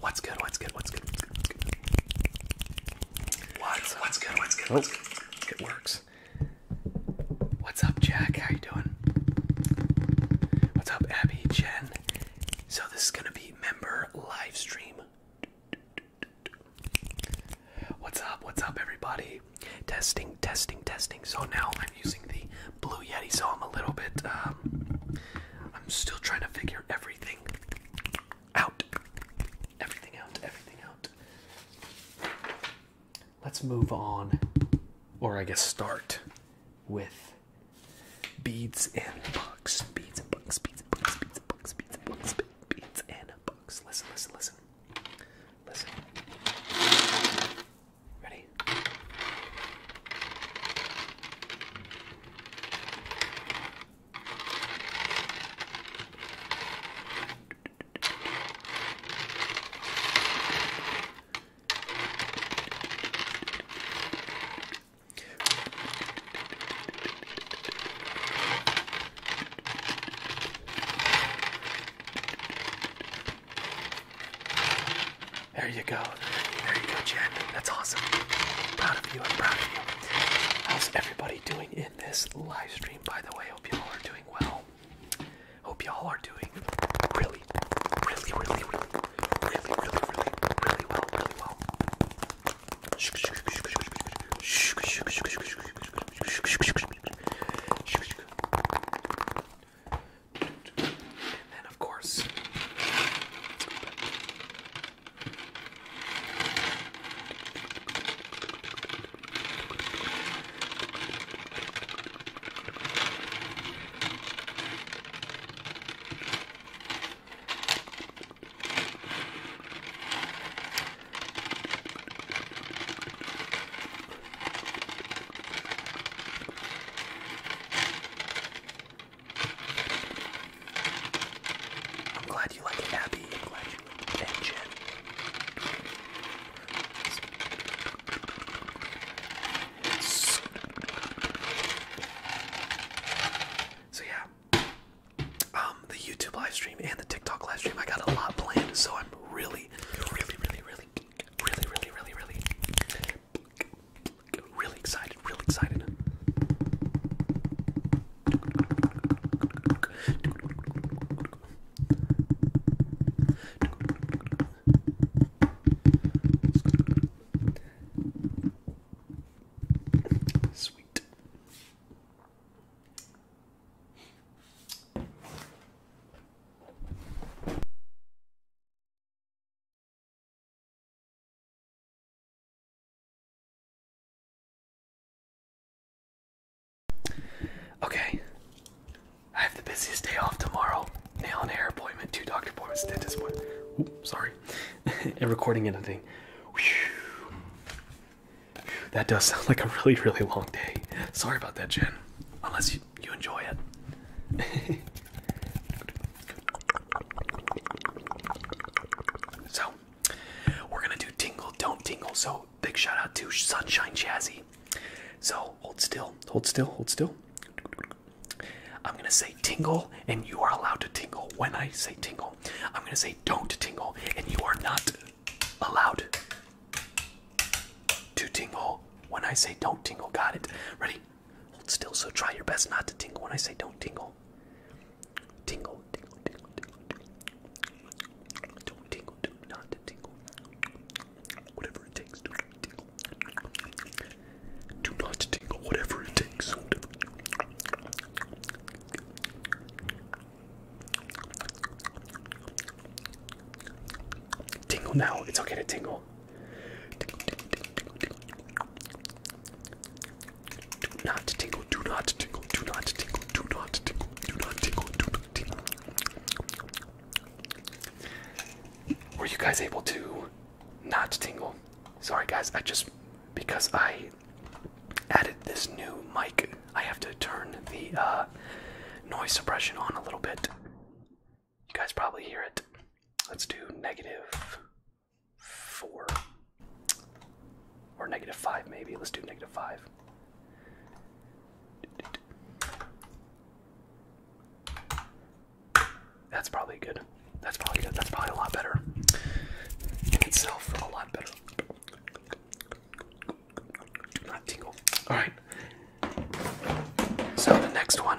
What's good? What's good? What's good? What's good? What's good? What's, what's good? What's good? Oh, what's good? It works. What's up, Jack? How you doing? What's up, Abby, Jen? So this is gonna be member live stream. What's up? What's up, everybody? Testing, testing, testing. So now I'm using the Blue Yeti, so I'm a little bit, um, I'm still trying to figure everything out. Everything out, everything out. Let's move on, or I guess start with beads and bucks. Beads and bucks, beads and bucks, beads and bucks, beads and bucks, beads and bucks. Beads and bucks books. Listen, listen, listen. Listen. Ready? There you go. There you go, Jen. That's awesome. I'm proud of you. I'm proud of you. How's everybody doing in this live stream, by the way? Hope you all are doing well. Hope you all are doing really, really, really, really, really, really, really, really, really well, really well. And then, of course, let's go back. I'm glad you like it, Abby. I'm glad you like it, So yeah, um, the YouTube live and the TikTok live stream, I got a lot planned, so I'm really really, really, really, really, really, really, really, excited, really excited. Sweet. Okay. I have the busiest day off tomorrow. Nail and hair appointment, two doctor appointments, dentist appointment. Oops, sorry. and recording anything. That does sound like a really, really long day. Sorry about that, Jen. Unless you, enjoy it. so, we're gonna do tingle, don't tingle. So, big shout out to Sunshine Jazzy. So, hold still, hold still, hold still. I'm gonna say tingle, and you are allowed to tingle when I say tingle. I'm gonna say don't tingle, and you are not allowed to tingle when I say don't tingle. Got it. Ready? Hold still. So try your best not to tingle when I say don't tingle. Tingle, tingle, tingle, tingle, Don't tingle, do not tingle. Whatever it takes, do tingle. Do not tingle, whatever it takes. Tingle now. It's okay to tingle. not tingle. Do not tingle. Do not tingle. Do not tingle. Do not tingle. Do not tingle. Were you guys able to not tingle? Sorry guys, I just because I added this new mic I have to turn the uh, noise suppression on a little bit. You guys probably hear it. Let's do negative four or negative five, maybe. Let's do negative five. That's probably good. That's probably good. That's probably a lot better. In itself, a lot better tingle. All right. So the next one,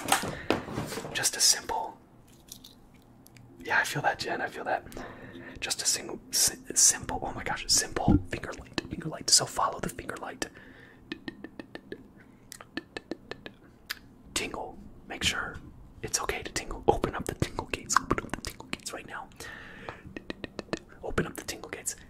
just a simple. Yeah, I feel that, Jen. I feel that. Just a single, simple. Oh my gosh, simple finger light, finger light. So follow the finger light. Tingle. Make sure it's okay to tingle. Open up the tingle gates. Open up the tingle gates right now. Open up the tingle gates.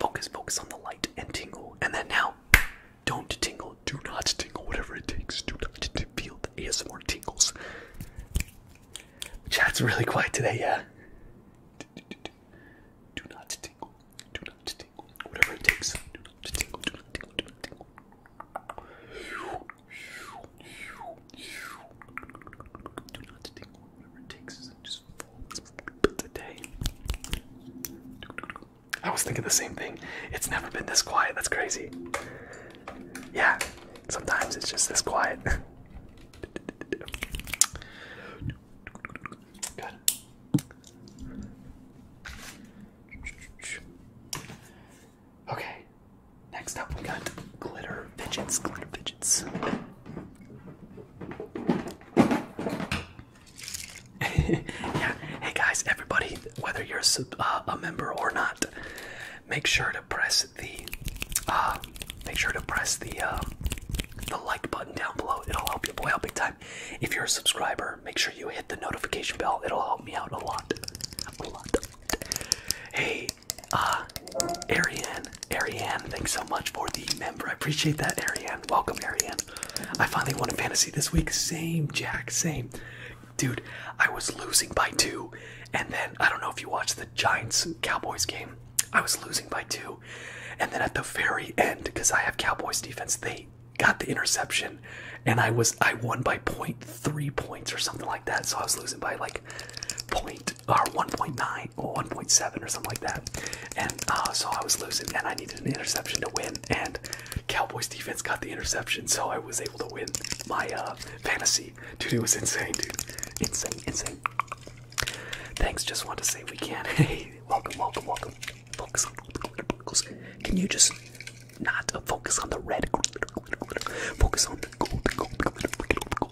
Focus, focus on the light and tingle. And then now, don't tingle. Do not tingle, whatever it takes. Do not feel the ASMR tingles. Chat's really quiet today, yeah. Do not tingle. Do not tingle. Whatever it takes. Do not tingle. Do not tingle. Do not tingle. Whatever it takes just I was thinking the same thing. It's never been this quiet. That's crazy. Yeah, sometimes it's just this quiet. Okay. Next up, we got glitter fidgets. Glitter fidgets yeah. Hey guys, everybody, whether you're uh, a member or not, make sure to press the uh, make sure to press the uh, the like button down below. It'll help your boy out big time. If you're a subscriber, make sure you hit the notification bell. It'll help me out a lot. Hey, uh, Arian, Ariane, thanks so much for the member. I appreciate that, Ariane. Welcome, Ariane. I finally won a fantasy this week. Same, Jack, same. Dude, I was losing by two. And then, I don't know if you watched the Giants Cowboys game, I was losing by two. And then at the very end, because I have Cowboys defense, they got the interception. And I was, I won by point three points or something like that. So I was losing by like point or 1.9 or 1.7 or something like that. And uh, so I was losing, and I needed an interception to win. And Cowboys defense got the interception, so I was able to win my uh, fantasy. Dude, was insane, dude. Insane, insane. Thanks. Just want to say we can. Hey, welcome, welcome, welcome. Focus on the focus. Can you just not focus on the red? Focus on the gold,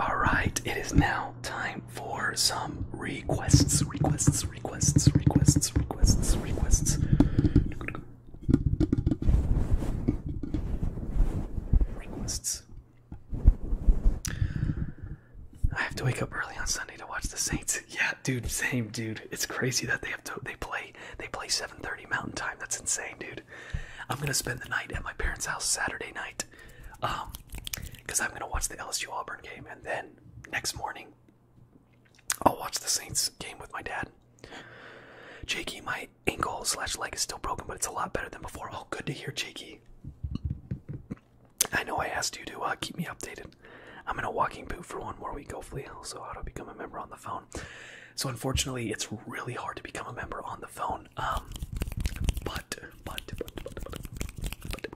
Alright, it is now time for some requests, requests, requests, requests, requests, requests. Requests. I have to wake up early on Sunday to watch the Saints. Yeah, dude, same dude. It's crazy that they have they play they play 7:30 Mountain Time. That's insane, dude. I'm gonna spend the night at my parents' house Saturday night because um, I'm gonna watch the LSU Auburn game, and then next morning I'll watch the Saints game with my dad. Jakey, my ankle slash leg is still broken, but it's a lot better than before. Oh, good to hear, Jakey. I know I asked you to uh, keep me updated. I'm in a walking boot for one more week, hopefully. Also, how to become a member on the phone. So, unfortunately, it's really hard to become a member on the phone. Um, but, but, but, but, but,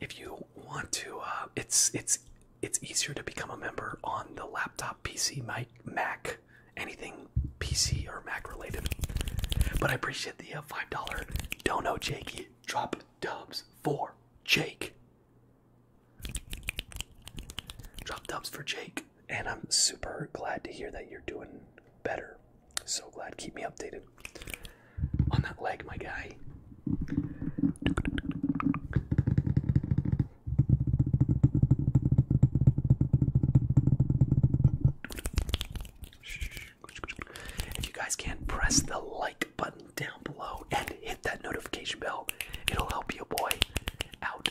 if you want to, uh, it's it's it's easier to become a member on the laptop, PC, mic, Mac, anything PC or Mac related. But I appreciate the uh, five dollar dono, Jakey. Drop dubs for Jake. Drop dubs for Jake, and I'm super glad to hear that you're doing better. So glad. Keep me updated on that leg, my guy. If you guys can, press the like button down below and hit that notification bell. It'll help your boy out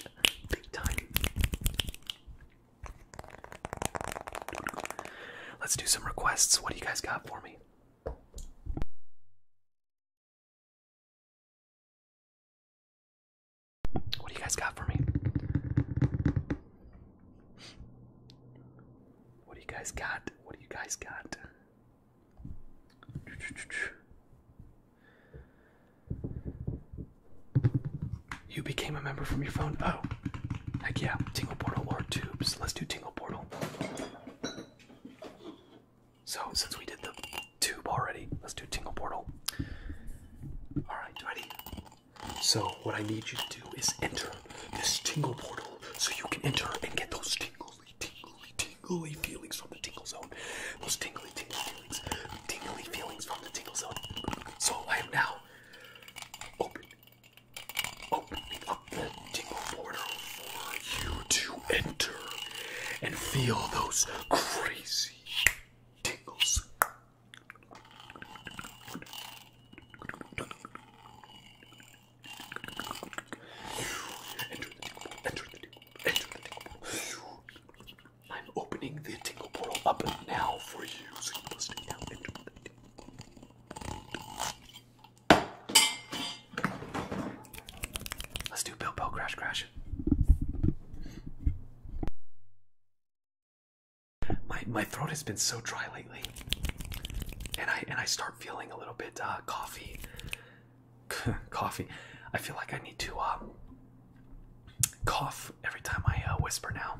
big time. Let's do some requests. What do you guys got for me? What do you guys got for me? What do you guys got? What do you guys got? You became a member from your phone. Oh, heck yeah. Tingle Portal or Tubes. Let's do Tingle Portal. So, since we did the tube already, let's do Tingle Portal. Alright, ready? So, what I need you to do is enter this Tingle Portal so you can enter and get those tingly, tingly, tingly feelings from the Tingle Zone. Those tingly, tingly feelings. Tingly feelings from the Tingle Zone. So, I am now open opening up the tingle portal for you to enter and feel those crazy tingles. Enter the tingle, enter the tingle, enter the tingle. I'm opening the tingle portal up now for you, Let's do Bill Bell Crash Crash. My my throat has been so dry lately, and I and I start feeling a little bit uh, coffee. coffee. I feel like I need to uh, cough every time I uh, whisper now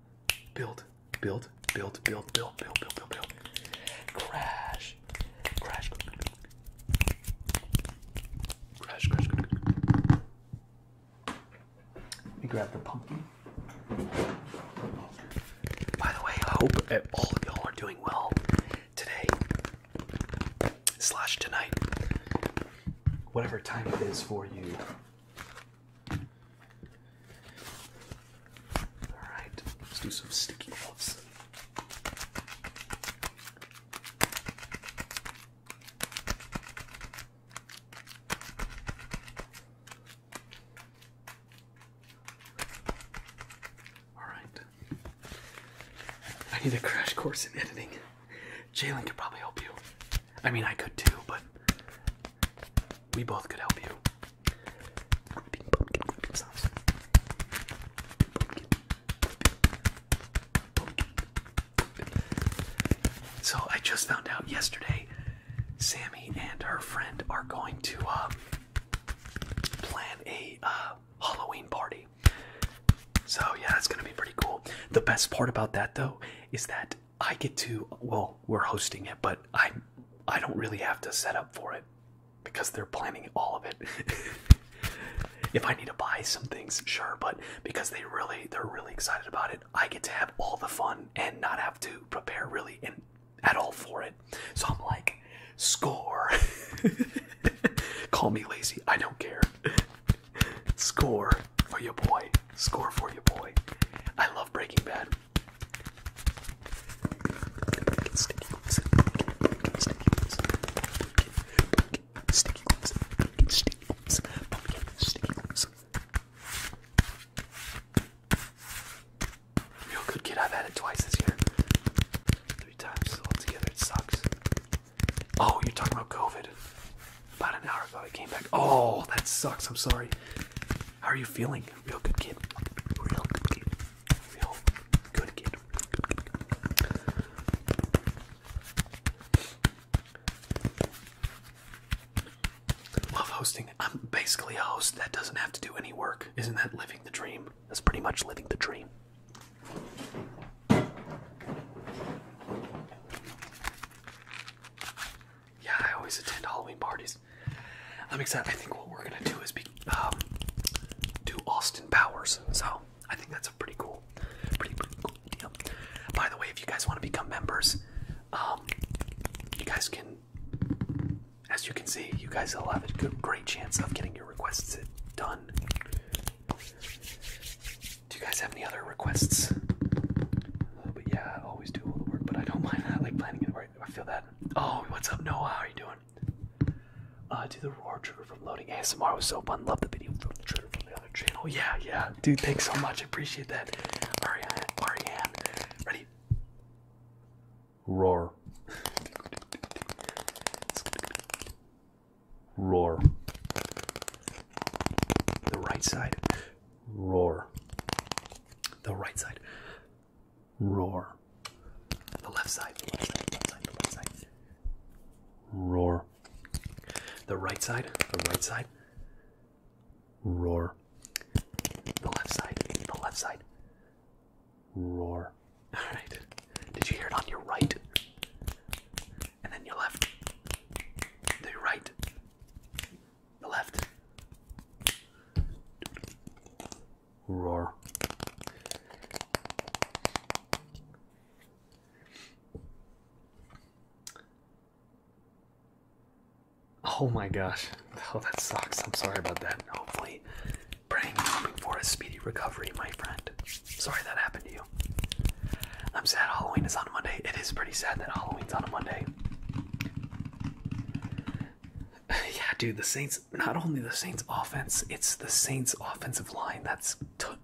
Build, build, build, build, build, build, build, build, build. Crash, crash, crash, crash. Let me grab the pumpkin. By the way, I hope all of y'all are doing well today slash tonight, whatever time it is for you Alright, let's do some sticky gloves. Alright. I need a crash course in editing. Jalen could probably help you. I mean, I could too, but we both could help you. So I just found out yesterday Sammy and her friend are going to uh, plan a uh, Halloween party. So yeah, that's gonna be pretty cool. The best part about that though is that I get to well, we're hosting it, but I I don't really have to set up for it because they're planning all of it. if I need to buy some things, sure, but because they really they're really excited about it, I get to have all the fun and not have to prepare really and at all for it. So I'm like, score. Call me lazy, I don't care. Score for your boy. Score for your boy. I love Breaking Bad. Real good kid. I've had it twice this year. Three times all together. It sucks. Oh, you're talking about COVID. About an hour ago, I came back. Oh, that sucks. I'm sorry. How are you feeling? Real good kid. Real good kid. Real good kid. Love hosting. I'm basically a host that doesn't have to do any work. Isn't that living the dream? That's pretty much living the dream. Yeah, I always attend Halloween parties. I'm excited. I think what we're gonna do is be, um, do Austin Powers. So I think that's a pretty cool, pretty pretty cool deal. By the way, if you guys want to become members, um, you guys can, as you can see, you guys will have a good, great chance of getting your requests done. Do you guys have any other requests? but yeah, I always do all the work, but I don't mind that. I like planning it right. I feel that. Oh, what's up, Noah? How are you doing? Uh, do the roar trigger from loading. ASMR was so fun. Love the video from the trigger from the other channel. Yeah, yeah. Dude, thanks so much. appreciate that. Ariane, Ariane. Ready? Roar. Roar. The right side roar. The right side, roar. The left side, the left side, the left side, the left side, roar. The right side, the right side, roar. The left side, the left side, roar. All right. Did you hear it on your right? And then your left. The right left. Roar. Oh my gosh. Oh, that sucks. I'm sorry about that. Hopefully, praying and hoping for a speedy recovery, my friend. Sorry that happened to you. I'm sad Halloween is on Monday. It is pretty sad that Halloween's on a Monday. yeah, dude, the Saints, not only the Saints offense, it's the Saints offensive line. That's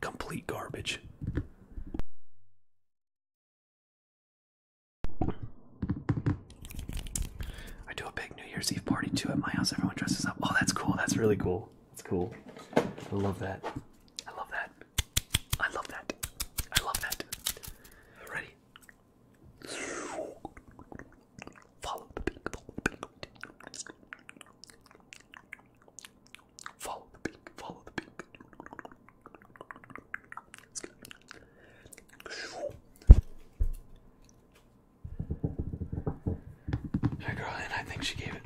complete garbage. I do a big New Year's Eve party too at my house. Everyone dresses up. Oh, that's cool. That's really cool. That's cool. I love that. I love that. I love that. I love that. Ready? Follow the pink, follow the pink. Follow the pink, follow the pink. That girl, and I think she gave it.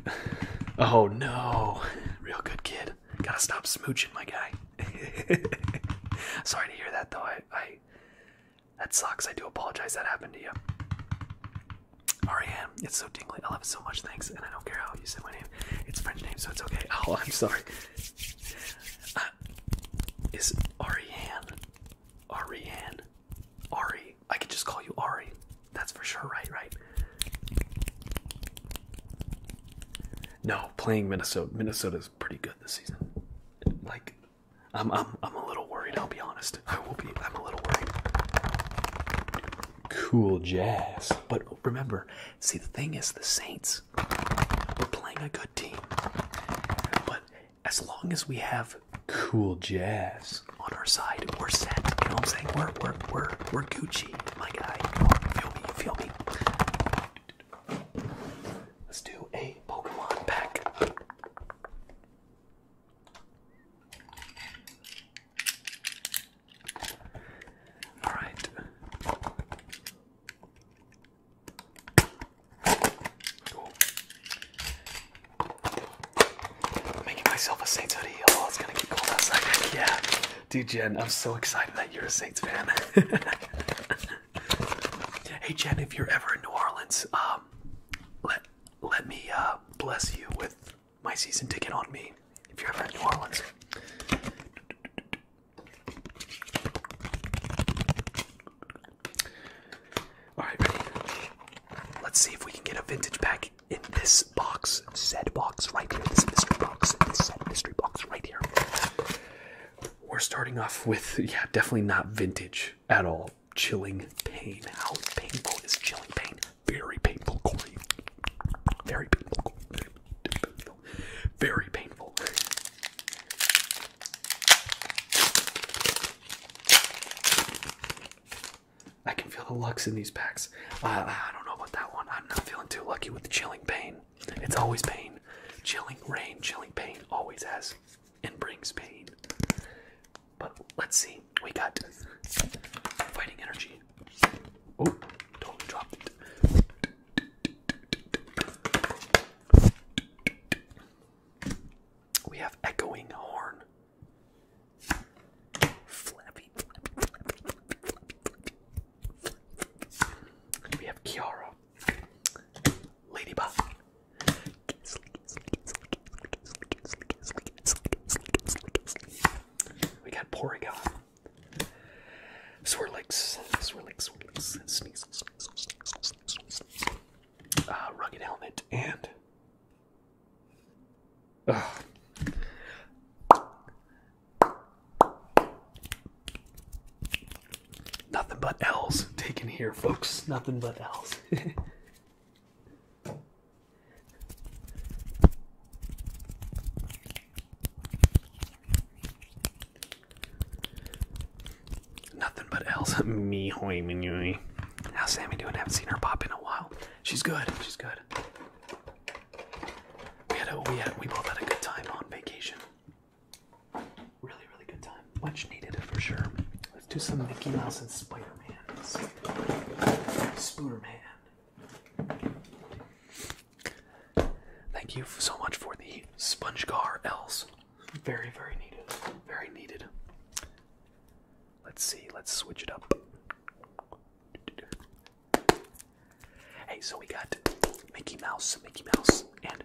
Oh no, real good kid. Gotta stop smooching, my guy. Sorry to hear that though. I, I that sucks. I do apologize that happened to you. Ariane, it's so dingly. I love it so much. Thanks, and I don't care how you say my name. It's French name, so it's okay. Oh, I'm sorry. Uh, is Ariane? Ariane? Ari? I could just call you Ari. That's for sure, right? Right. No, playing Minnesota. Minnesota's pretty good this season. Like, I'm I'm I'm a little worried. I'll be honest. I will be. I'm a little worried. Cool jazz. But remember, see the thing is, the Saints. We're playing a good team, but as long as we have cool jazz on our side, we're set. You know what I'm saying? We're we're we're we're Gucci, my guy. feel me? You feel me? Let's do a Pokemon pack. All right. making myself a Saints hoodie. Oh, it's gonna get cold outside. Yeah, dude, Jen, I'm so excited that you're a Saints fan. Hey Jen, if you're ever in New Orleans, um, let let me uh, bless you with my season ticket on me. If you're ever in New Orleans. Alright, ready? Let's see if we can get a vintage pack in this box, said box right here, this mystery box, this said mystery box right here we're starting off with yeah, definitely not vintage at all. Chilling pain. How painful is chilling pain? Very painful, Corey. Very painful. Very painful. I can feel the lux in these packs. Uh, I don't know about that one. I'm not feeling too lucky with the chilling pain. It's always pain. Chilling rain, chilling pain always has and brings pain. But let's see. We got fighting energy. Oh, totally dropped it. We have echoing horn. We have Kiara. Ladybug. We got Porygon. Swirlix. Swirlix, Swirlix, Sneasel, Sneasel, Sneasel, Sneasel, Uh, Rugged Helmet, and... Ugh. Nothing but L's taken here, folks. Nothing but L's. Nothing but L's. Me hoy minui. How's Sammy doing? I haven't seen her pop in a while. She's good. She's good. We had we had we both had a good time on vacation. Really, really good time. Much needed for sure. Let's do some Mickey Mouse and Spider Man. Spooner Man. Thank you so much for the sponge Car L's. Very, very needed. Very needed. Let's see. Let's switch it up. Hey, so we got Mickey Mouse, Mickey Mouse, and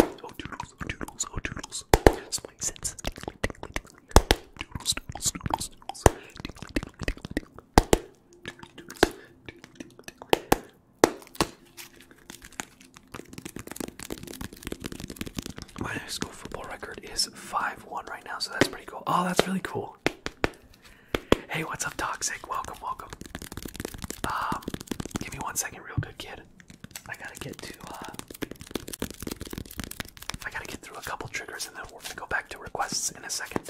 Oh doodles, oh doodles, oh doodles. Spine sense. My high school football record is 5-1 right now, so that's pretty cool. Oh, that's really cool. Hey, what's up, Toxic? Welcome, welcome. Um, give me one second, real good, kid. I gotta get to, uh, I gotta get through a couple triggers and then we're gonna go back to requests in a second.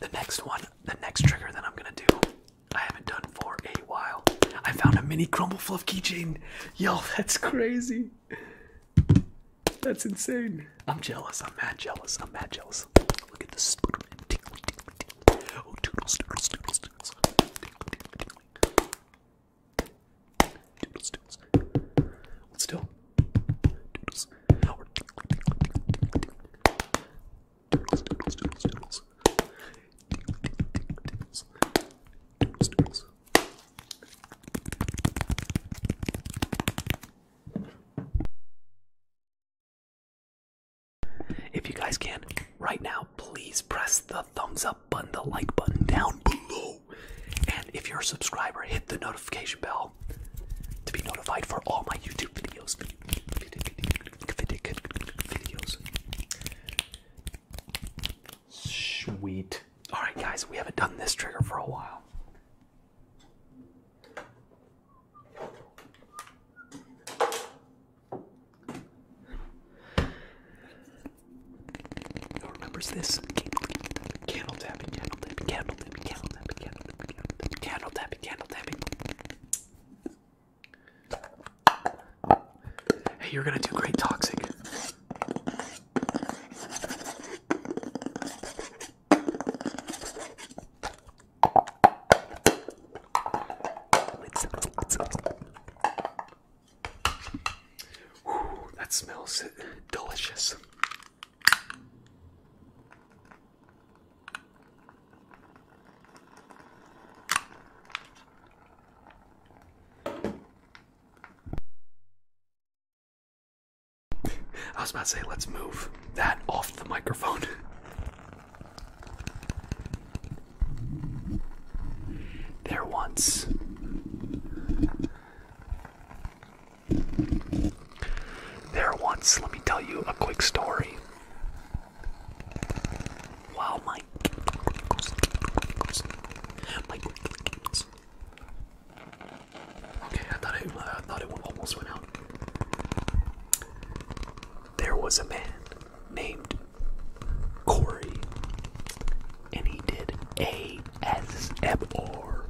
The next one, the next trigger that I'm gonna do, I haven't done for a while. I found a mini crumble fluff keychain. y'all. that's crazy. That's insane. I'm jealous. I'm mad jealous. I'm mad jealous. Look at this. Oh, doodles, doodles, doodles, doodles. Doodles, doodles. Hold still. Doodles. Doodles, doodles, doodles, doodles. Doodles, doodles, doodles. If you guys can, right now, please press the thumbs up button, the like button down below. And if you're a subscriber, hit the notification bell to be notified for all my YouTube videos. Sweet. Alright, guys, we haven't done this trigger for a while. Who remembers this? Candle tapping, candle tapping, candle tapping, candle tapping, candle tapping, candle tapping, candle tapping. Hey, you're gonna do great, Toxic. Ooh, that smells delicious. I was about to say, let's move that off the microphone. there once there once let me tell you a quick story wow my Okay, I thought it, almost went out. There was a man named Corey, and he did ASMR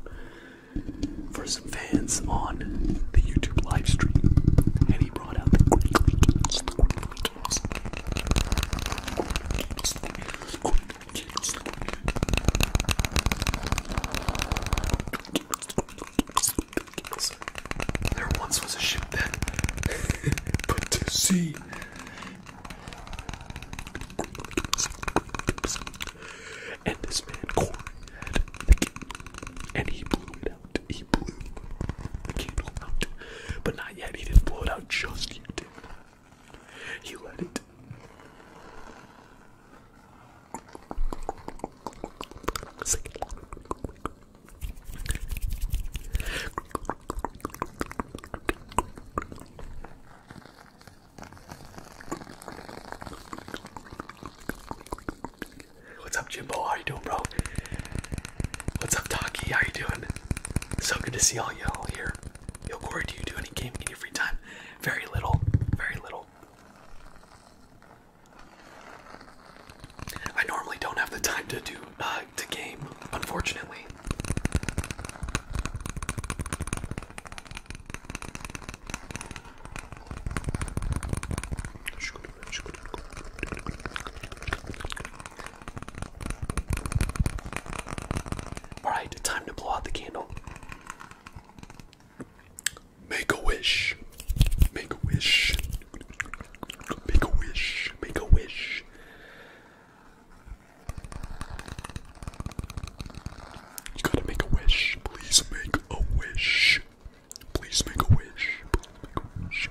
for some fans on the YouTube live stream, and he brought out the there once was a ship that put to sea. And this man Corey had the candle, and he blew it out. He blew the candle out, but not yet. He didn't it out just yet. He let it What's up, Jimbo? How you doing, bro? What's up, Taki? How you doing? So good to see all y'all here. Yo, Corey, do you do any gaming in your free time? Very little, very little. I normally don't have the time to do uh, to game, unfortunately. All right, time to blow out the candle. Make a wish. Make a wish. Make a wish. Make a wish. You gotta make a wish. Please make a wish. Please make a wish.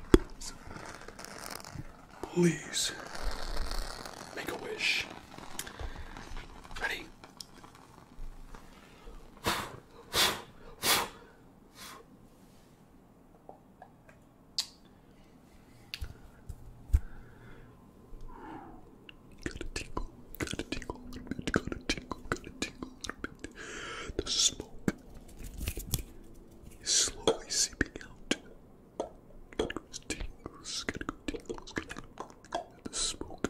Please make a wish. Ready? Got a tingle, got a tingle a little bit, got a tingle, got a tingle a little bit. The smoke is slowly seeping out. Tingles, tingles, tingles, tingles. The smoke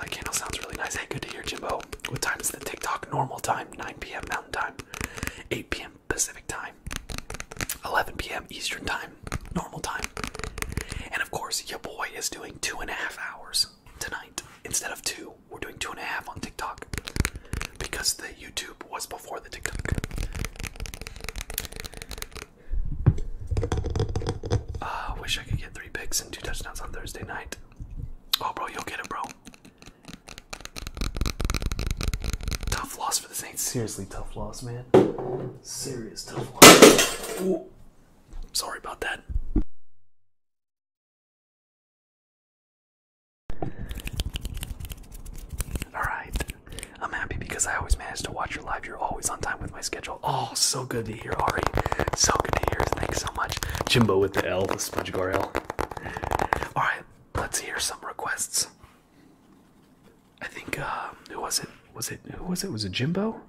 that candle sounds really nice. Hey, good to hear, Jimbo. What time is the TikTok? Normal time, 9 p.m. Mountain Time, 8 p.m. Pacific Time, 11 p.m. Eastern Time, Normal Time. And of course, your boy is doing two and a half hours tonight instead of two. We're doing two and a half on TikTok because the YouTube was before the TikTok. Ah, I wish I could get three picks and two touchdowns on Thursday night. Oh, bro, you'll get it, bro. Tough loss for the Saints. Seriously, tough loss, man. Serious tough loss. Sorry about that. Alright. I'm happy because I always manage to watch your live. You're always on time with my schedule. Oh, so good to hear, Ari. So good to hear. Thanks so much. Jimbo with the L, the Smudge Gar L. Alright, let's hear some requests. I think, uh, who was it? Was it, who was it? Was it Jimbo?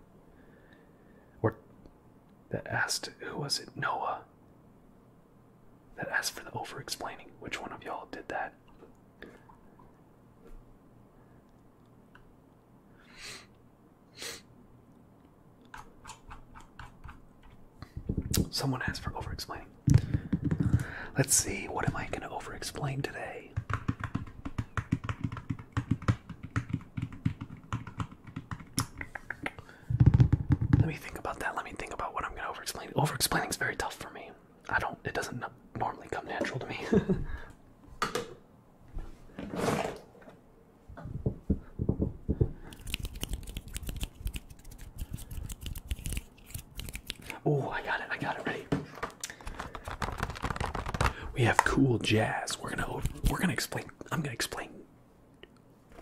Or that asked, who was it? Noah. That asked for the over explaining. Which one of y'all did that? Someone asked for over explaining. Let's see, what am I going to over explain today? Let me think about that. Let me think about what I'm going to over explain. Over explaining is very tough for me. I don't, it doesn't normally come natural to me. Oh, I got it. I got it ready. We have cool jazz. We're gonna we're gonna explain. I'm gonna explain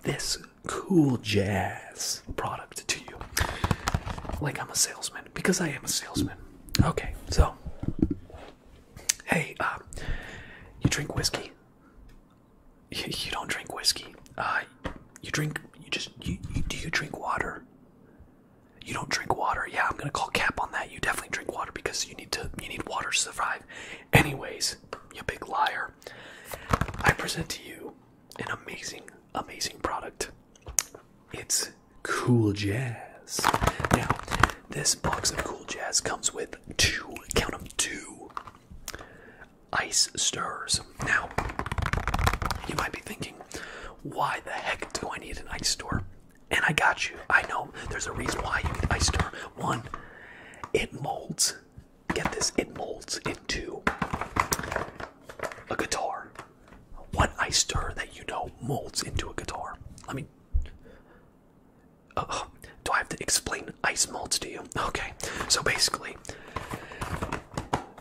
this cool jazz product to you, like I'm a salesman because I am a salesman. Okay, so Hey, uh, you drink whiskey? You, don't drink whiskey. Uh, you drink. You just. do you drink water? You don't drink water. Yeah, I'm gonna call cap on that. You definitely drink water because you need to. You need water to survive. Anyways, you big liar. I present to you an amazing, amazing product. It's cool jazz. Now, this box of cool jazz comes with two, count them two, ice stirrers. Now, you might be thinking, why the heck do I need an ice store? And I got you. I know there's a reason why you need ice stirrer. One, it molds. Get this, it molds into a guitar. One ice stirrer that you know molds into a guitar? Let me Oh, do I have to explain ice molds to you? Okay, so basically,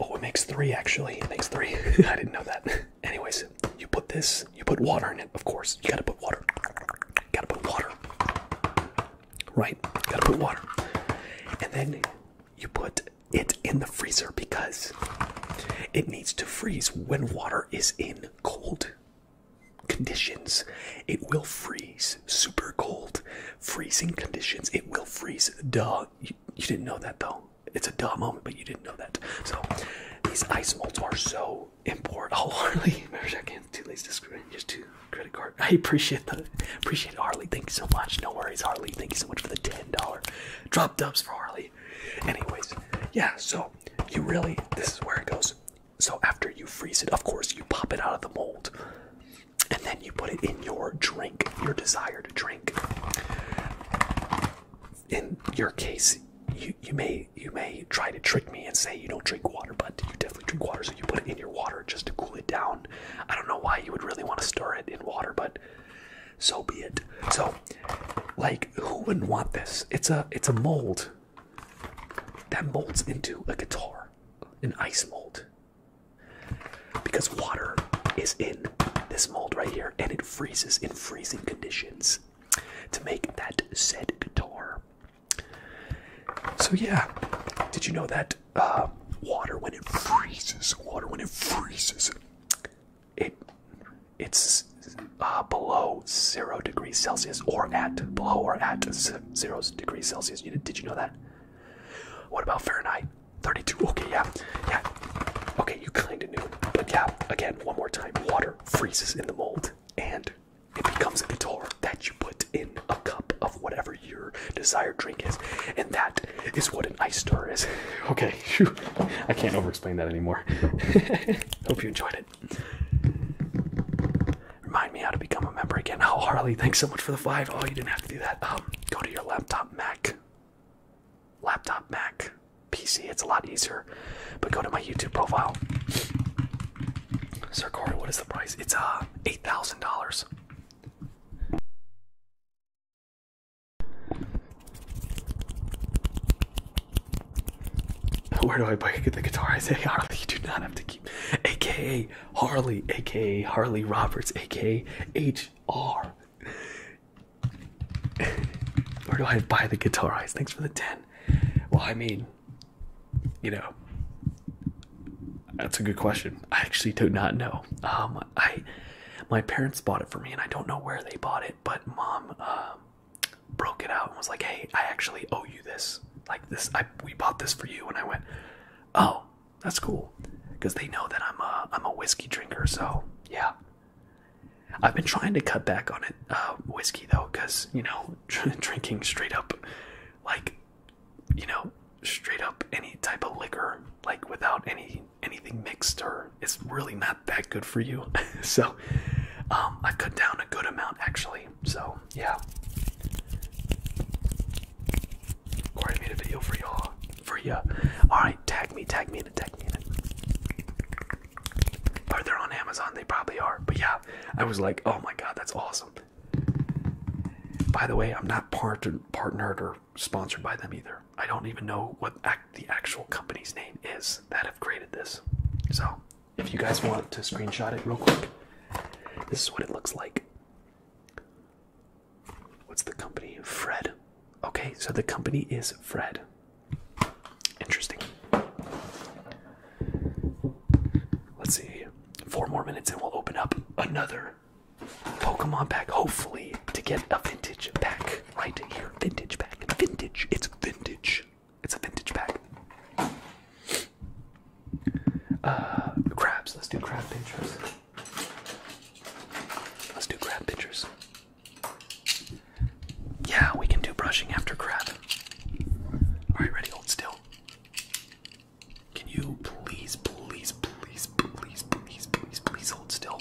oh, it makes three actually. It makes three. I didn't know that. Anyways, you put this, you put water in it, of course. You gotta put water. Gotta put water. Right? You gotta put water. And then you put it in the freezer because it needs to freeze when water is in cold conditions, it will freeze. Super cold, freezing conditions, it will freeze. Duh. You, didn't know that though. It's a dumb moment, but you didn't know that. So these ice molds are so important. Oh, Harley, remember I can't too to screw just two credit card. I appreciate that. Appreciate it, Harley. Thank you so much. No worries, Harley. Thank you so much for the ten dollar drop dubs for Harley. Anyways, yeah. So you really, this is where it goes. So after you freeze it, of course, you pop it out of the mold. And then you put it in your drink, your desired drink. In your case, you, you may you may try to trick me and say you don't drink water, but you definitely drink water, so you put it in your water just to cool it down. I don't know why you would really want to store it in water, but so be it. So like who wouldn't want this? It's a it's a mold that molds into a guitar, an ice mold. Because water is in this mold right here and it freezes in freezing conditions to make that said guitar. So, yeah, did you know that uh, water, when it freezes, water, when it freezes, it it's uh, below zero degrees Celsius or at below or at zero degrees Celsius. did you know that? What about Fahrenheit? 32. Okay, yeah, yeah. Okay, you kind of knew, but yeah. Again, one more time. Water freezes in the mold, and it becomes a guitar that you put in a cup of whatever your desired drink is, and that is what an ice stir is. Okay, I can't over-explain that anymore. Hope you enjoyed it. Remind me how to become a member again. Oh, Harley, thanks so much for the five. Oh, you didn't have to do that. Um, go to your laptop Mac. Laptop Mac. PC, it's a lot easier. But go to my YouTube profile. Sir Corey, what is the price? It's uh eight thousand dollars. Where do I buy the guitar? I say Harley. You do not have to keep. AKA Harley. AKA Harley Roberts. AKA HR. Where do I buy the guitar? I thanks for the 10. Well, I mean, you know, that's a good question. I actually do not know. Um, I, my parents bought it for me, and I don't know where they bought it, but mom, um, broke it out and was like, "Hey, I actually owe you this. Like this, I we bought this for you." And I went, "Oh, that's cool," because they know that I'm a I'm a whiskey drinker. So yeah, I've been trying to cut back on it, uh, whiskey though, because you know, drinking straight up, like, you know, straight up any type of liquor, like without any anything mixed, or it's really not that good for you. so so um, I cut down a good amount actually. So yeah, Corey made a video for you For ya. All right, tag me, tag me in tag me Are they on Amazon? They probably are. But yeah, I was like, oh my god, that's awesome. By the way, I'm not part partnered or sponsored by them either. I don't even know what the actual company's name is that have created this. So if you guys want to screenshot it real quick, this is what it looks like. What's the company? Fred. Okay, so the company is Fred. Interesting. Let's see. Four more minutes and we'll open up another Pokemon pack, hopefully, to get a vintage pack right here. Vintage pack. Vintage. It's vintage. It's a vintage pack. Uh, crabs. Let's do crab pictures. Let's do crab pictures. Yeah, we can do brushing after crab. Alright, ready? Hold still. Can you please, please, please, please, please, please, please hold still?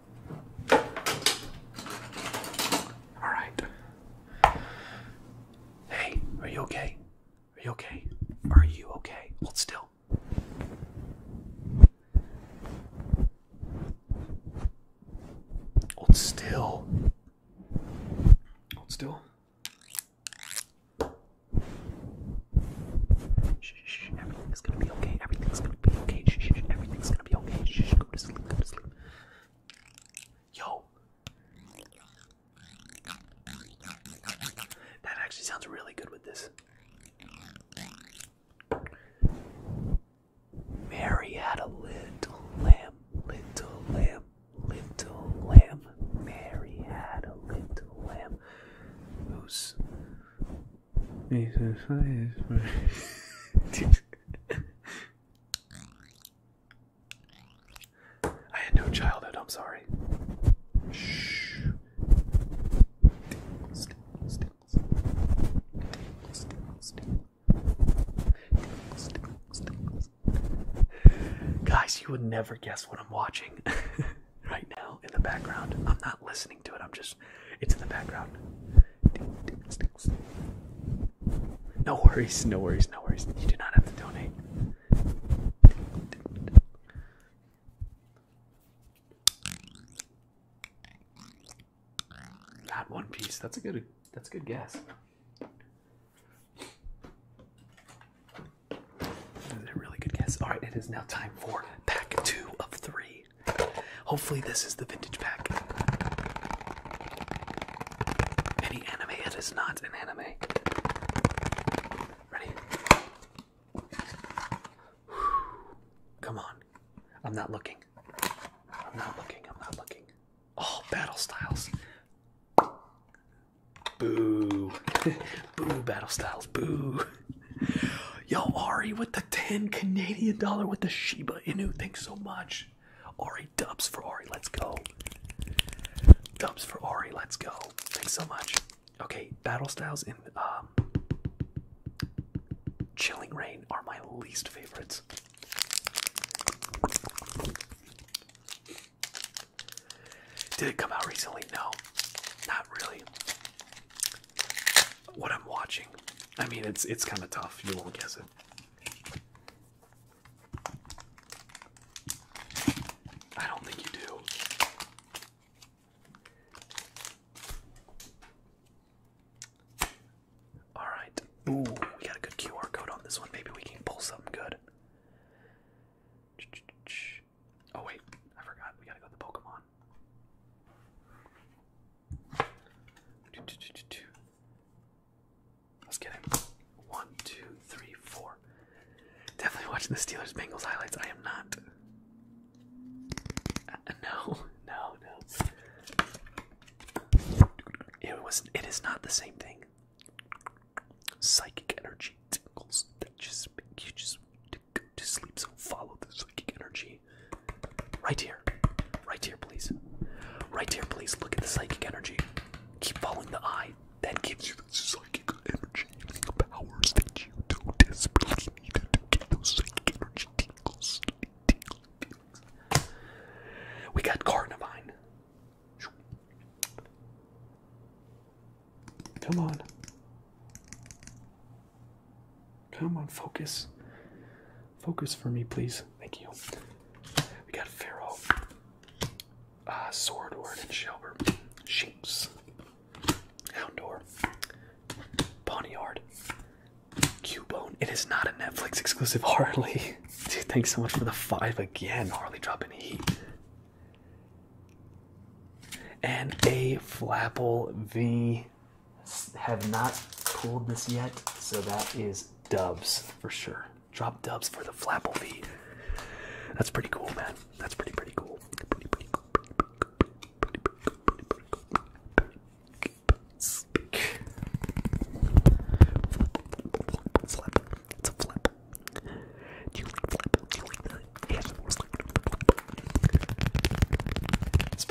All right. Hey, are you okay? Are you okay? Are you okay? Hold still. Hold still. Hold still. Shh, everything's gonna be okay. Everything's gonna be okay. Shh, everything's gonna be okay. shh, go to sleep. Go to sleep. Yo. That actually sounds really good with this. Mary had a little lamb, little lamb, little lamb. Mary had a little lamb. Who's. I had no childhood, I'm sorry. Shh. Guys, you would never guess what I'm watching right now in the background. I'm not listening to it, I'm just, it's in the background. No worries, no worries, no worries. You do not have to donate. That one piece. That's a good that's a good guess. really good guess. Alright, it is now time for pack two of three. Hopefully, this is the vintage pack. Any anime? It is not an anime. Ready? Come on. I'm not looking. I'm not looking. I'm not looking. All battle styles. Boo. boo, battle styles. Boo. Yo, Ari with the 10 Canadian dollar with the Shiba Inu. Thanks so much. Ori dubs for Ori, let's go. Dubs for Ori, let's go. Thanks so much. Okay, battle styles and um, Chilling Rain are my least favorites. Did it come out recently? No, not really. What I'm watching, I mean, it's it's kind of tough. You won't guess it. I don't think you do. All right. Ooh, we got a good QR code on this one. Maybe we can pull something good. Oh wait, I forgot. We gotta go the Pokemon. Let's get him. One, two, three, four. Definitely watching the Steelers Bengals highlights. I am not. Uh, no, no, no. It was. It is not the same thing. Psychic energy tingles that just make you just want to go to sleep. So follow the psychic energy. Right here. Right here, please. Right here, please. Look at the psychic energy. Keep following the eye. That gives you the psychic energy the powers that you do desperately need to get those psychic energy tingles. tingles. We got Carnivine. Come on. Come on, focus. Focus for me, please. Thank you. We got Pharaoh, uh, Swordward and Shelber, Shinx, Houndor, Ponyard, Cubone. It is not a Netflix exclusive, Harley. thanks so much for the five again, Harley dropping heat. And a Flapple V have not pulled this yet, so that is dubs for sure. Drop dubs for the feet. That's pretty cool, man. That's pretty pretty cool.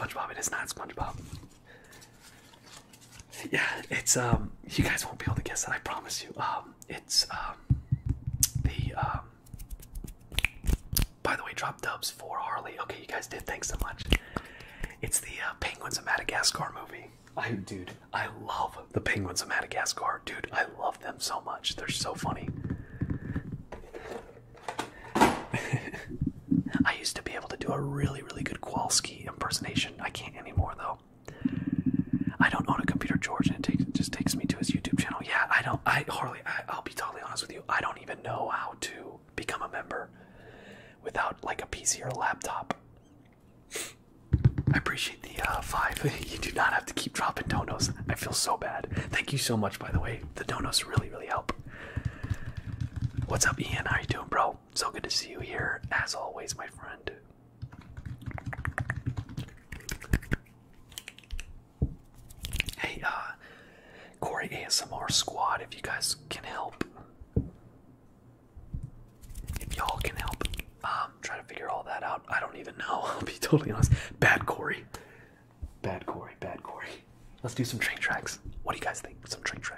SpongeBob, it is not SpongeBob yeah, it's um you guys won't be able to guess that I promise you. Um it's um the um by the way, drop dubs for Harley. Okay, you guys did. Thanks so much. It's the uh, Penguins of Madagascar movie. I dude, I love the Penguins of Madagascar. Dude, I love them so much. They're so funny. I used to be able to do a really, really good Kowalski impersonation. I can't anymore though. I don't own a computer, George, and it, just takes me to his YouTube channel. Yeah, I don't. I Harley, I, will be totally honest with you. I don't even know how to become a member without like a PC or a laptop. I appreciate the uh, five. you do not have to keep dropping donos. I feel so bad. Thank you so much, by the way. The donos really, really help. What's up, Ian? How you doing, bro? so good to see you here, as always, my friend. Hey, uh, Corey ASMR Squad, if you guys can help. If y'all can help, um, try to figure all that out. I don't even know, I'll be totally honest. Bad Corey. Bad Corey, bad Corey. Let's do some train tracks. What do you guys think? Some train tracks.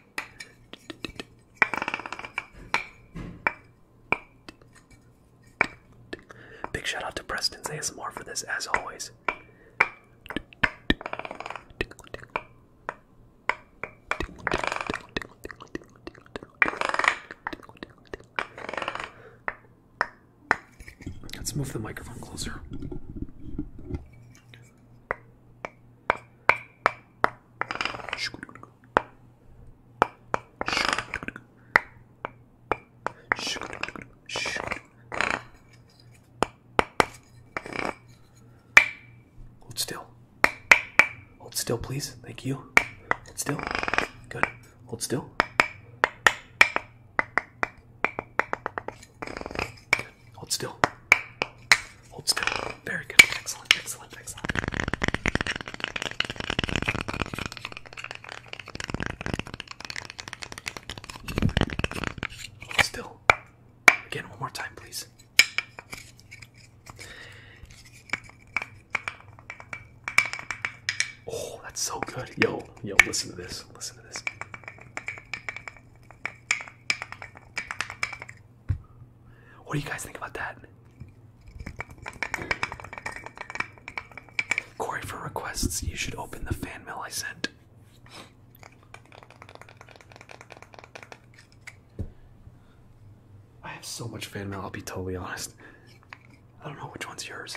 Big shout out to Preston's ASMR for this, as always. Let's move the microphone closer. Hold still. Hold still, please. Thank you. Hold still. Good. Hold still. Hold still. Hold still. Very good. Excellent. Excellent. Excellent. still. Again, one more time, please. Oh, that's so good. Yo, yo, listen to this. Listen to this. What do you guys think about that? Corey, for requests, you should open the fan mail I sent. I have so much fan mail, I'll be totally honest. I don't know which one's yours.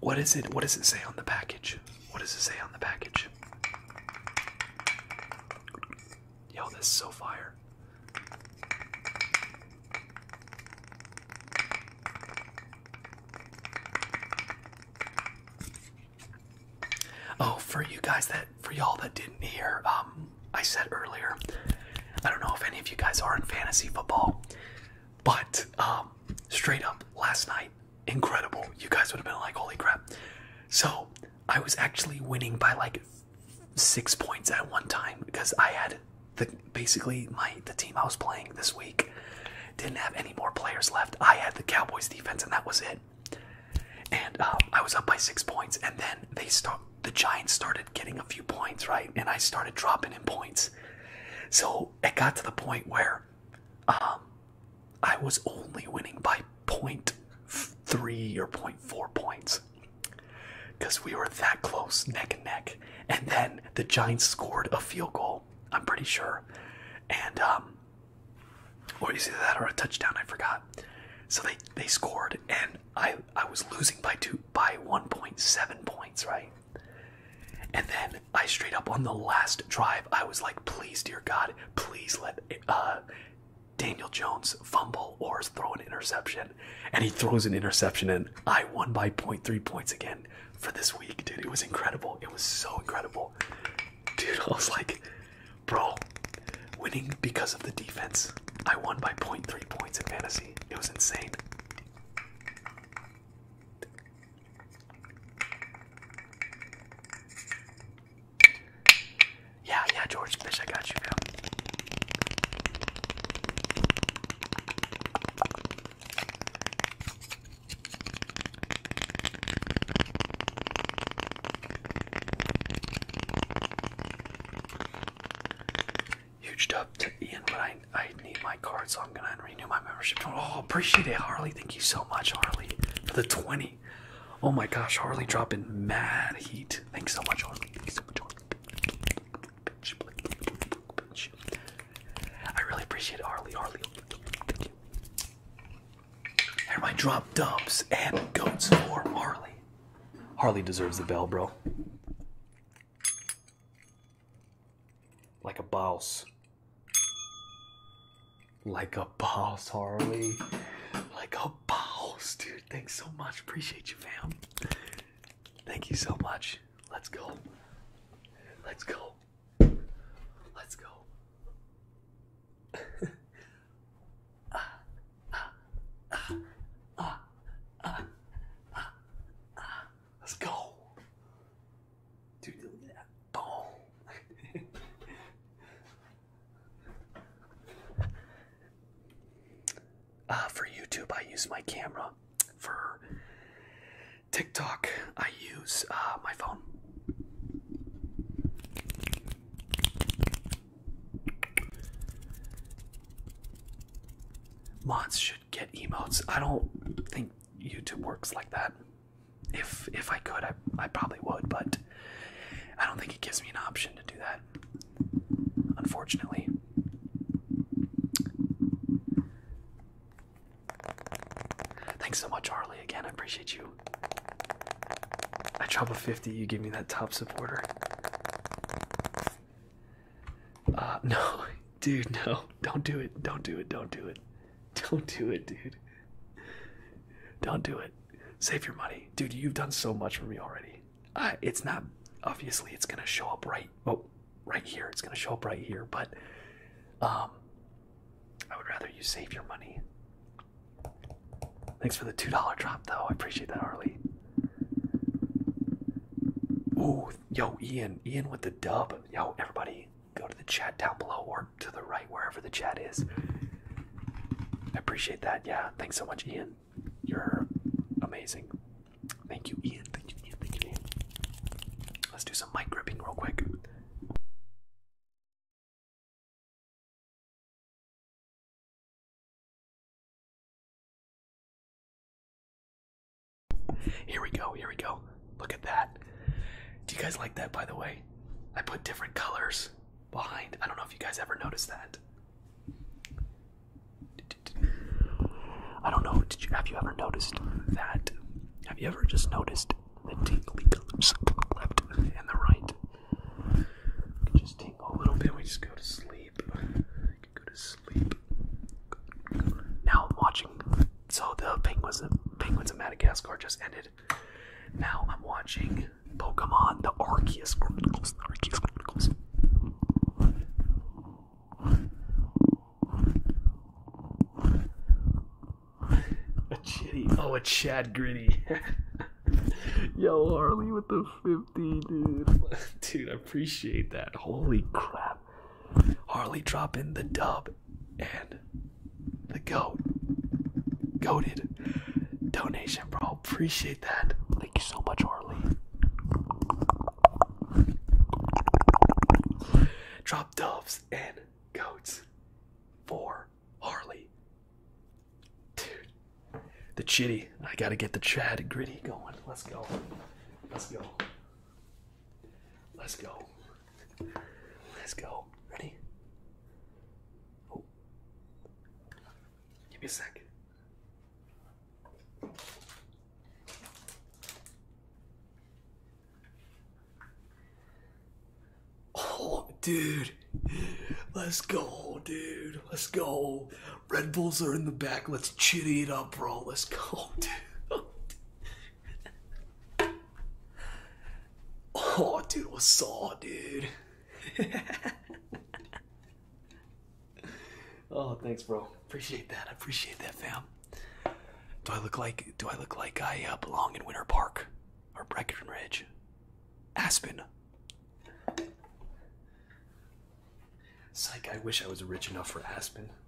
What is it? What does it say on the package? What does it say on the package? Yo, this is so fire. Oh, for you guys that, for y'all that didn't hear, um, I said earlier, I don't know if any of you guys are in fantasy football, but um, straight up last night incredible. You guys would have been like, holy crap. So I was actually winning by like six points at one time because I had the basically my the team I was playing this week didn't have any more players left. I had the Cowboys defense and that was it. And uh, I was up by six points, and then they start the Giants started getting a few points, right? And I started dropping in points. So it got to the point where um, I was only winning by 0.3 or 0.4 points because we were that close, neck and neck. And then the Giants scored a field goal, I'm pretty sure. And, um, or is either that or a touchdown, I forgot. So they, they scored, and I, I was losing by two by 1.7 points, right? And then I straight up on the last drive, I was like, please, dear God, please let uh, Daniel Jones fumble or throw an interception, and he throws an interception, and I won by point three points again for this week, dude. It was incredible. It was so incredible, dude. I was like, bro, winning because of the defense. I won by point three points in fantasy. It was insane. Yeah, yeah, George Fish, I got you, man. Huge dub to Ian, but I, I need my card, so I'm gonna renew my membership. Oh, appreciate it, Harley. Thank you so much, Harley, for the 20. Oh my gosh, Harley dropping mad heat. Thanks so much, Harley. I really appreciate it, Harley. Harley, thank you. And drop dubs and goats for Harley. Harley deserves the bell, bro. Like a boss. Like a boss, Harley. Like a boss, dude. Thanks so much. Appreciate you, fam. Thank you so much. Let's go. Let's go. Let's go. Let's go. Dude, look Boom. Uh, for YouTube, I use my camera. For TikTok, I use uh, my phone. Mods should get emotes. I don't think YouTube works like that if if I could, I I probably would, but I don't think it gives me an option to do that. Unfortunately. Thanks so much, Harley. Again, I appreciate you. I drop a 50, you give me that top supporter. Uh, no, dude, no. Don't do it. Don't do it. Don't do it. Don't do it, dude. Don't do it. Save your money, dude. You've done so much for me already. Uh, it's not obviously it's gonna show up right. Oh, right here. It's gonna show up right here. But um, I would rather you save your money. Thanks for the two dollar drop, though. I appreciate that, Harley. Ooh, yo, Ian, Ian with the dub. Yo, everybody, go to the chat down below or to the right wherever the chat is. I appreciate that. Yeah, thanks so much, Ian. You're amazing. Thank you, Ian. Let's do some mic gripping real quick. Here we go, here we go. Look at that. Do you guys like that, by the way? I put different colors behind. I don't know if you guys ever noticed that. I don't know. Did you have you ever noticed that? Have you ever just noticed the tingly colors on the left and the right? We just tingle a little bit. We just go to sleep. I go to sleep. Now I'm watching. So the penguins, penguins of Madagascar just ended now I'm watching Pokemon The Arceus Chronicles. The Arceus Chronicles. A chitty. Oh, a Chad Gritty. Yo, Harley with the 50, dude. Dude, I appreciate that. Holy crap. Harley dropping the dub and the goat. Goated donation, bro. Appreciate that. Thank you so much, Harley. Drop doves and goats for Harley. Dude, the chitty. I gotta get the chatty gritty going. Let's go. Let's go. Let's go. Let's go. Ready? Give me a second. Oh, dude. Let's go, dude. Let's go. Red Bulls are in the back. Let's chitty it up, bro. Let's go, dude. Oh, dude, I saw, dude? oh, thanks, bro. Appreciate that. appreciate that, fam. Do I look like do I look like I uh, belong in Winter Park or Breckenridge, Aspen? Psych, I wish I was rich enough for Aspen.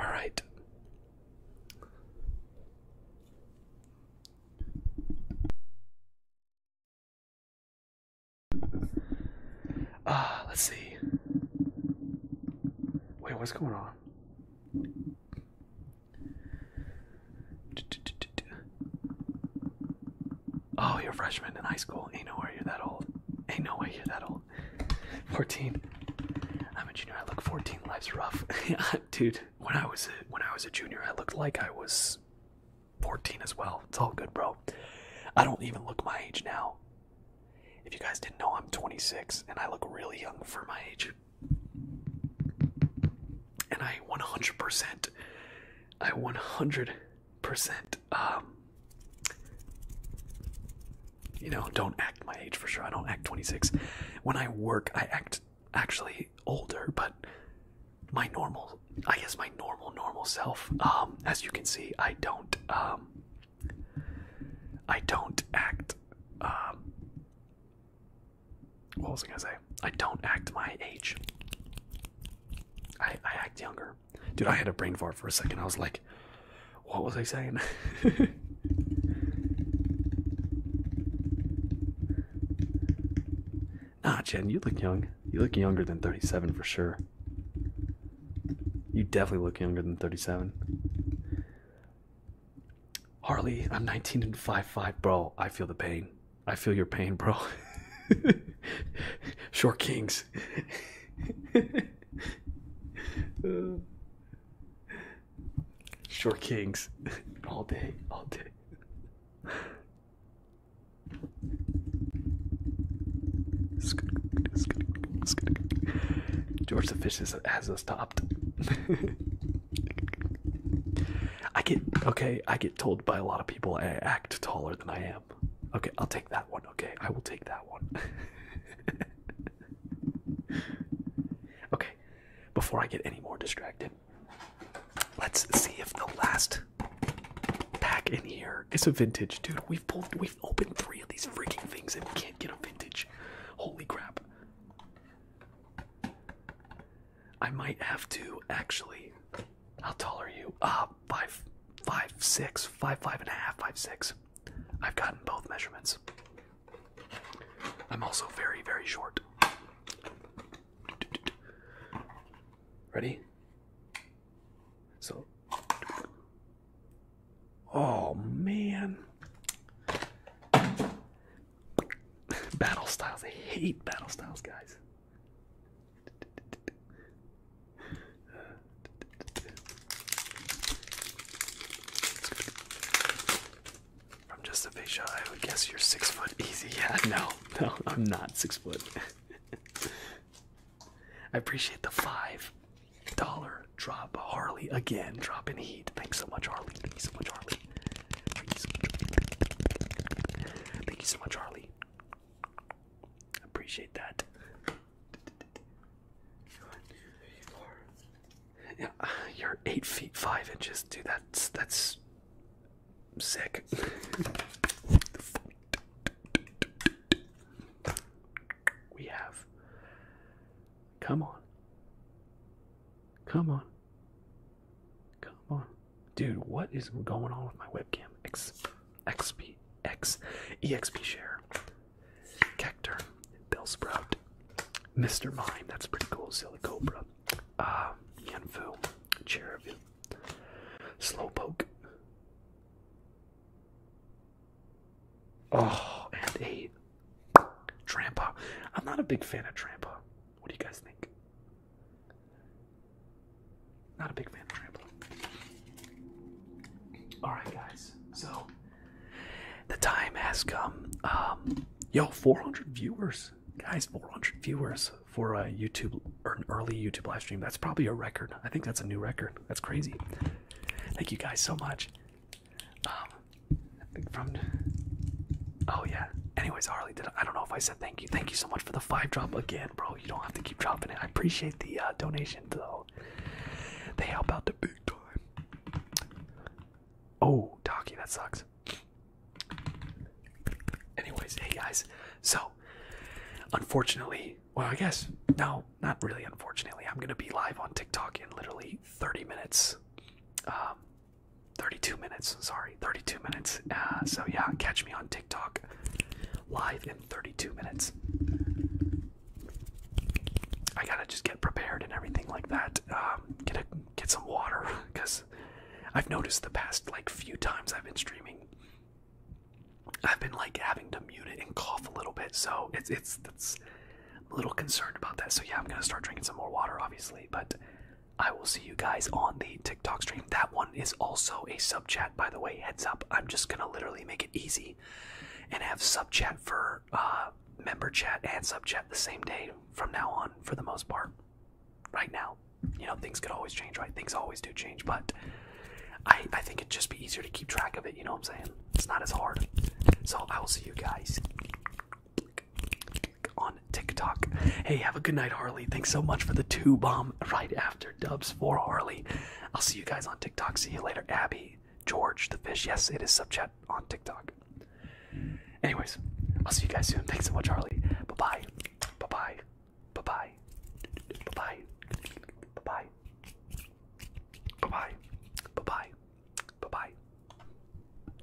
All right. Ah, let's see. Wait, what's going on? Oh, you're a freshman in high school. Ain't no way you're that old. Ain't no way you're that old. 14. I'm a junior. I look 14. Life's rough, dude. When I was a, when I was a junior, I looked like I was 14 as well. It's all good, bro. I don't even look my age now. If you guys didn't know, I'm 26 and I look really young for my age. And I 100%, I 100 percent. Um, you know, don't act my age for sure. I don't act 26. When I work, I act actually older, but my normal, I guess my normal, normal self. Um, as you can see, I don't, um, I don't act. Um, what was I gonna say? I don't act my age. I I act younger. Dude, I had a brain fart for a second. I was like, what was I saying? Ah, Jen, you look young. You look younger than 37 for sure. You definitely look younger than 37. Harley, I'm 19 and five-five, bro. I feel the pain. I feel your pain, bro. Short kings short kings all day, all day. George the Fish is, has us topped. I get okay. I get told by a lot of people I act taller than I am. Okay, I'll take that one. Okay, I will take that one. okay, before I get any more distracted, let's see if the last pack in here is a vintage. Dude, we've pulled, we've opened three of these freaking things and we can't get a vintage. Holy crap. I might have to actually how tall are you? Uh, five, five, six, five, five and a half, five, six. I've gotten both measurements. I'm also very, very short. Ready? So. Oh, man. Battle styles. I hate battle styles, guys. From just a big I would guess you're six foot easy. Yeah, no, no, I'm not six foot. I appreciate the five dollar drop, Harley. Again, dropping heat. Thanks so much, Harley. Thank you so much, Harley. Thank you so much, Harley. Thank you so much, Harley. Appreciate that. Yeah, you're eight feet five inches, dude. That's that's sick. we have. Come on. Come on. Come on, dude. What is going on with my webcam? XP, X, EXP share, Cacturn, Bill Sprout, Mr. Mime, that's pretty cool, Silly Cobra, uh, Slowpoke, oh, and eight. Trampa. I'm not a big fan of Trampa. What do you guys think? Not a big fan of rambling. Alright, guys. So, the time has come. Um, yo, 400 viewers. Guys, 400 viewers for a YouTube or an early YouTube live stream. That's probably a record. I think that's a new record. That's crazy. Thank you guys so much. Um, from. Oh, yeah. Anyways, Harley, did I don't know if I said thank you. Thank you so much for the five drop again bro. You don't have to keep dropping it. I appreciate the uh, donation, though. They help out the big time. Oh, Taki, that sucks. Anyways, hey guys. So, unfortunately, well, I guess no, not really. Unfortunately, I'm gonna be live on TikTok in literally 30 minutes. Um, 32 minutes. Sorry, 32 minutes. Uh, so yeah, catch me on TikTok live in 32 minutes. I gotta just get prepared and everything like that. Um, get a, get some water because I've noticed the past like few times I've been streaming, I've been like having to mute it and cough a little bit. So it's it's that's a little concerned about that. So yeah, I'm gonna start drinking some more water, obviously. But I will see you guys on the TikTok stream. That one is also a subject by the way, heads up. I'm just gonna literally make it easy and have sub chat for uh, member chat and sub chat the same day from now on, for the most part. Right now, you know, things could always change, right? Things always do change, but I I think it'd just be easier to keep track of it. You know what I'm saying? It's not as hard. So I will see you guys on TikTok. Hey, have a good night, Harley. Thanks so much for the two bomb right after. Hunter dubs for Harley. I'll see you guys on TikTok. See you later, Abby, George, the fish. Yes, it is subchat on TikTok. Anyways, I'll see you guys soon. Thanks so much, Harley. Bye bye. Bye bye. Bye bye. Bye bye. Bye bye. Bye bye. Bye bye. Bye bye.